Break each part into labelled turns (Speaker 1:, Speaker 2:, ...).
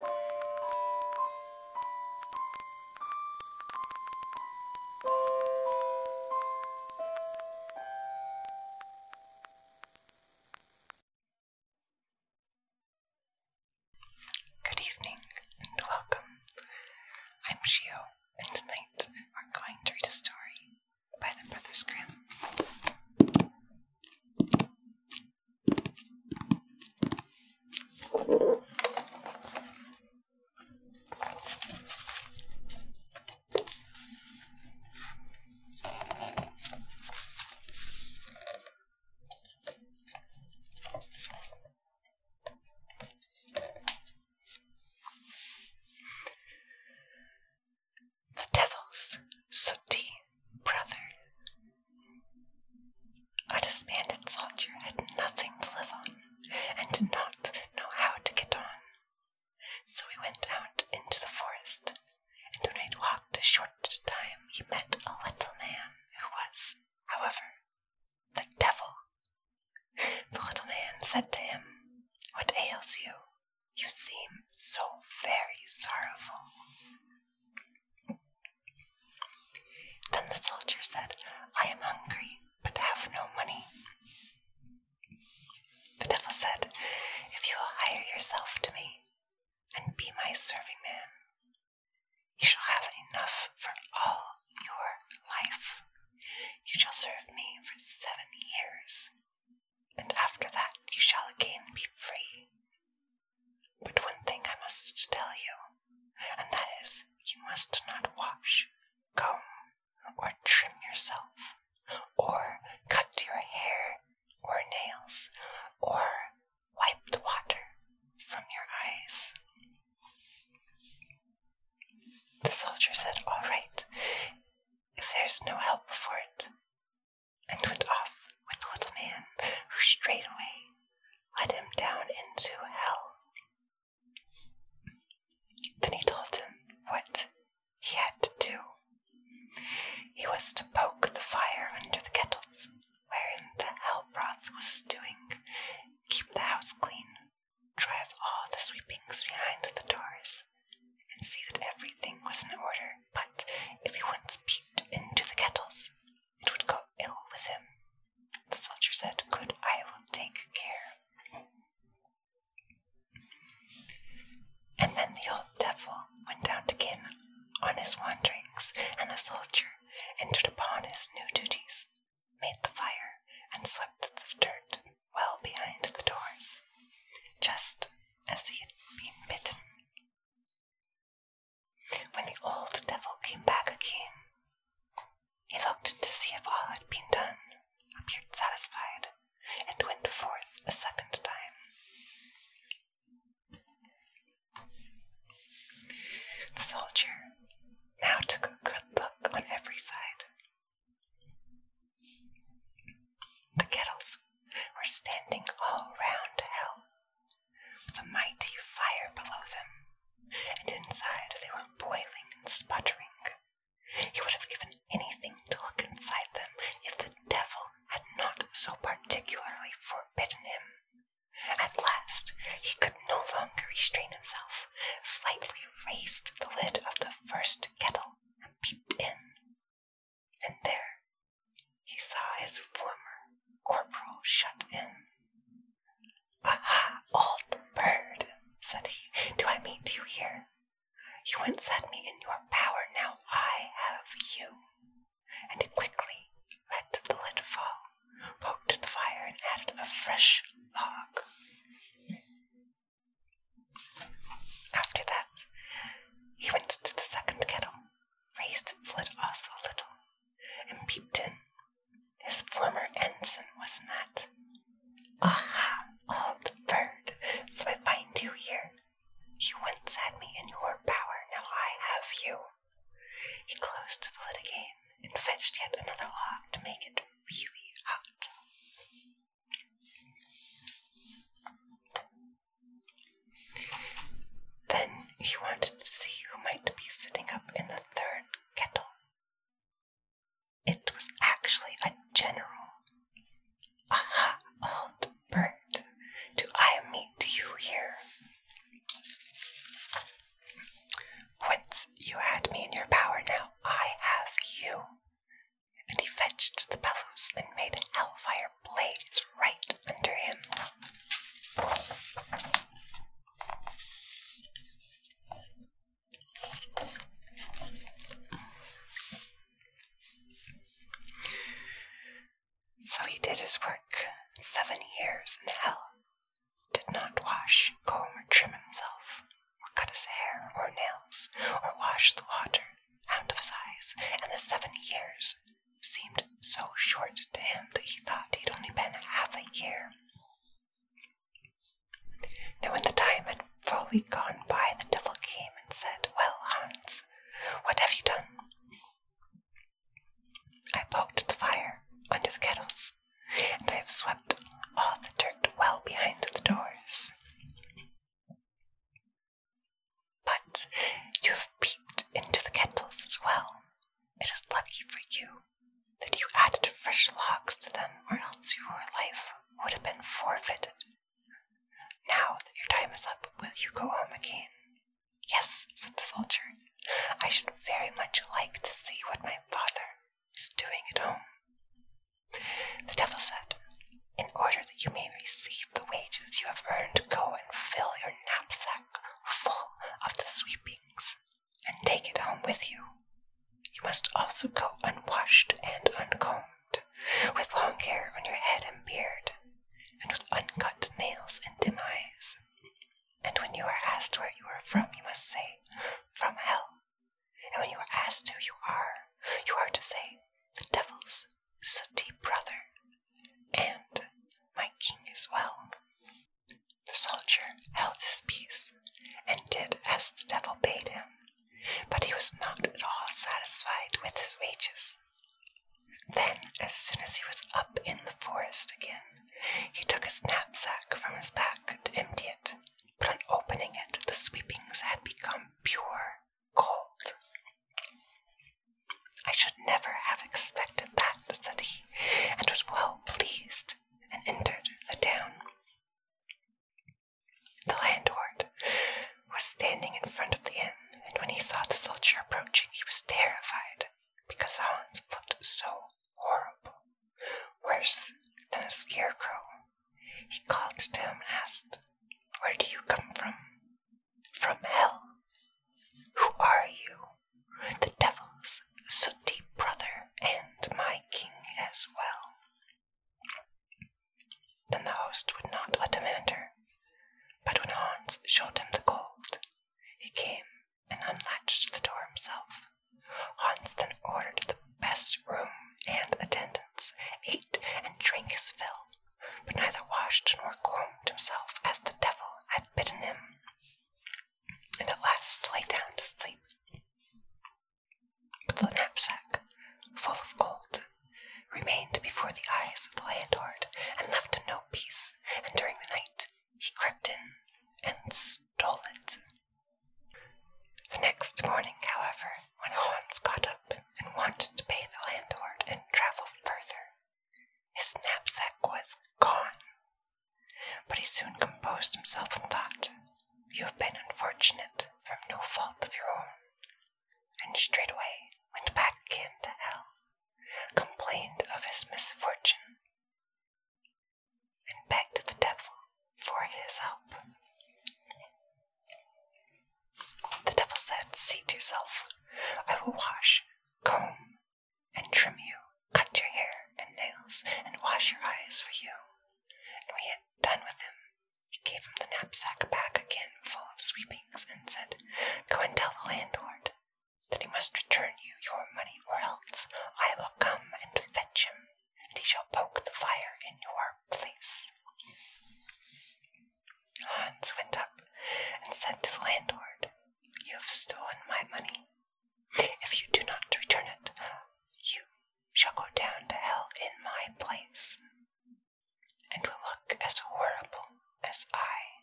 Speaker 1: Good evening and welcome. I'm Shio, and tonight we're going to read a story by the Brothers Grimm. The Devil's Sooty brother. A disbanded soldier had nothing to live on and did not know how to get on. So he went out into the forest, and when he had walked a short time, he met a little man who was, however, the devil. The little man said to him, What ails you? You seem so very sorrowful. Then the soldier said, I am hungry, but have no money. The devil said, If you will hire yourself to me and be my serving man, you shall have enough for all your life. You shall serve me for seven years, and after that you shall again be free. But one thing I must tell you, and that is you must not wash, comb, or trim yourself, or cut your hair or nails, or wipe the water from your eyes. The soldier said, All right, if there's no help for it, and went off with the little man, who straightway led him down into hell. Then he told him what he had to do. He was to poke the fire under the kettles, wherein the hell broth was stewing, keep the house clean, drive all the sweepings behind the doors, and see that everything was in order. But if he once peeped into the kettles, it would go ill with him. The soldier said, Good, I will take care. And then the old devil went down again on his wanderings, and the soldier entered upon his new duties, made the fire, and swept the dirt well behind the doors, just as he had been bitten. When the old devil came back again, he looked to see if all had been done, appeared satisfied, and went forth a second time. The soldier now took a good look on every side. The kettles were standing all round hell, a mighty fire below them, and inside they were boiling and sputtering. He would have given anything to look inside them if the devil had not so particularly forbidden him. At last he could no longer restrain himself, slightly raised the lid of the first kettle, and peeped in and there he saw his former corporal shut in. "Ah, old bird, said he, do I meet you here? You once had me in your power, now I have you. And quickly let the lid fall, poked the fire, and added a fresh log. After that, he went to the second kettle raised its lid also a little, and peeped in. His former ensign was that. Aha, old bird, so I find you here. You once had me in your power, now I have you. He closed the lid again and fetched yet another log to make it really hot. Then he wanted to see who might be sitting up in the third kettle. It was actually a general. Aha, old Bert, do I meet you here? Once you had me in your power, now I have you. And he fetched the bellows and made fire fire blazed right under him. So he did his work. Seven years in hell. Did not wash, comb, or trim himself, or cut his hair or nails, or wash the water out of his eyes, and the seven years seemed so short to him that he thought he'd only been half a year. Now, when the time had fully gone by, the devil came and said, Well, Hans, what have you done? I poked the fire under the kettles, and I have swept all the dirt well behind the doors. But you have peeped into the kettles as well. It is lucky for you that you added fresh logs to them, or else your life would have been forfeited. Now that your time is up, will you go home again? Yes, said the soldier. I should very much like to see what my father is doing at home. The devil said, In order you may receive the wages you have earned, go and fill your knapsack full of the sweepings, and take it home with you. You must also go unwashed and uncombed, with long hair on your head and beard, and with uncut nails and dim eyes. And when you are asked where you are from, you must say, From hell. And when you are asked who you are, you are to say, The devil's sooty brother, and my king as well. The soldier held his peace and did as the devil bade him, but he was not at all satisfied with his wages. Then, as soon as he was up in the forest again, he took his knapsack from his back to empty it, but on opening it, the sweepings had become pure gold. I should never have expected that, said he, and was well pleased, and entered the town. The landlord was standing in front of the inn, and when he saw the soldier approaching, he was terrified, because Hans looked so horrible, worse than a scarecrow. He called to him and asked, Where do you come from? from hell. Who are you? The devil's sooty brother and my king as well. Then the host would not let him enter, but when Hans showed him the gold, he came and unlatched the door himself. Hans then ordered the best room and attendants, ate and drank his fill, but neither washed nor combed himself as the devil had bidden him, and at last lay down to sleep. the knapsack, full of gold, remained before the eyes of the landlord and left no peace, and during the night he crept in and stole it. The next morning, however, when Hans got up and wanted to pay the landlord and travel further, his knapsack was gone. But he soon composed himself and thought, You have been unfortunate from no fault of your own. And straightway went back again to hell, complained of his misfortune, and begged the devil for his help. The devil said, "Seat yourself. I will wash, comb, and trim you, cut your hair and nails, and wash your eyes for you. And when he had done with him, he gave him the knapsack back again full of sweepings, and said, Go and tell the landlord that he must return you your money, or else I will come and fetch him, and he shall poke the fire in your place. Hans went up and said to the landlord, You have stolen my money. If you do not return it, you shall go down to hell in my place, and will look as horrible as I.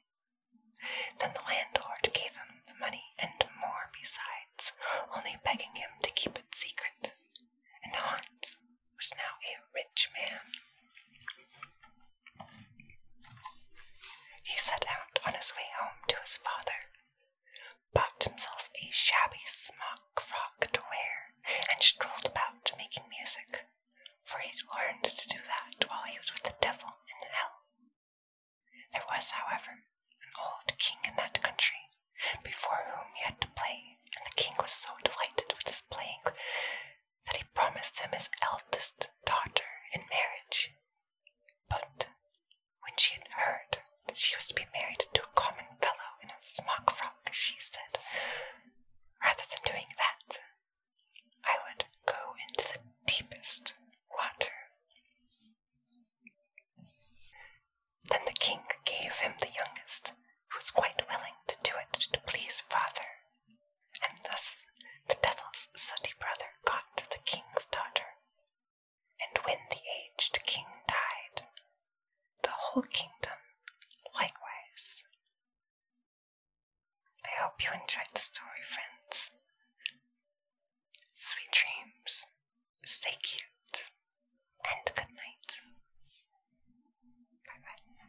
Speaker 1: Then the landlord gave him the money and more besides, only begging him to keep it secret, and Hans was now a rich man. He set out on his way home to his father, bought himself a shabby smock frock to wear, and strolled about making music, for he had learned to do that while he was with the devil in hell. There was, however, an old king in that country, before whom he had to play, and the king was so delighted with his playing that he promised him his eldest daughter in marriage. But when she had heard that she was to be married to a common fellow in a smock frock, she said, Rather than doing that, I would go into the deepest water. Then the king gave him the youngest, who was quite willing to do it to please father and thus the devil's sooty brother got the king's daughter. And when the aged king died, the whole kingdom likewise. I hope you enjoyed the story, friends. Sweet dreams, stay cute, and good night. Bye bye.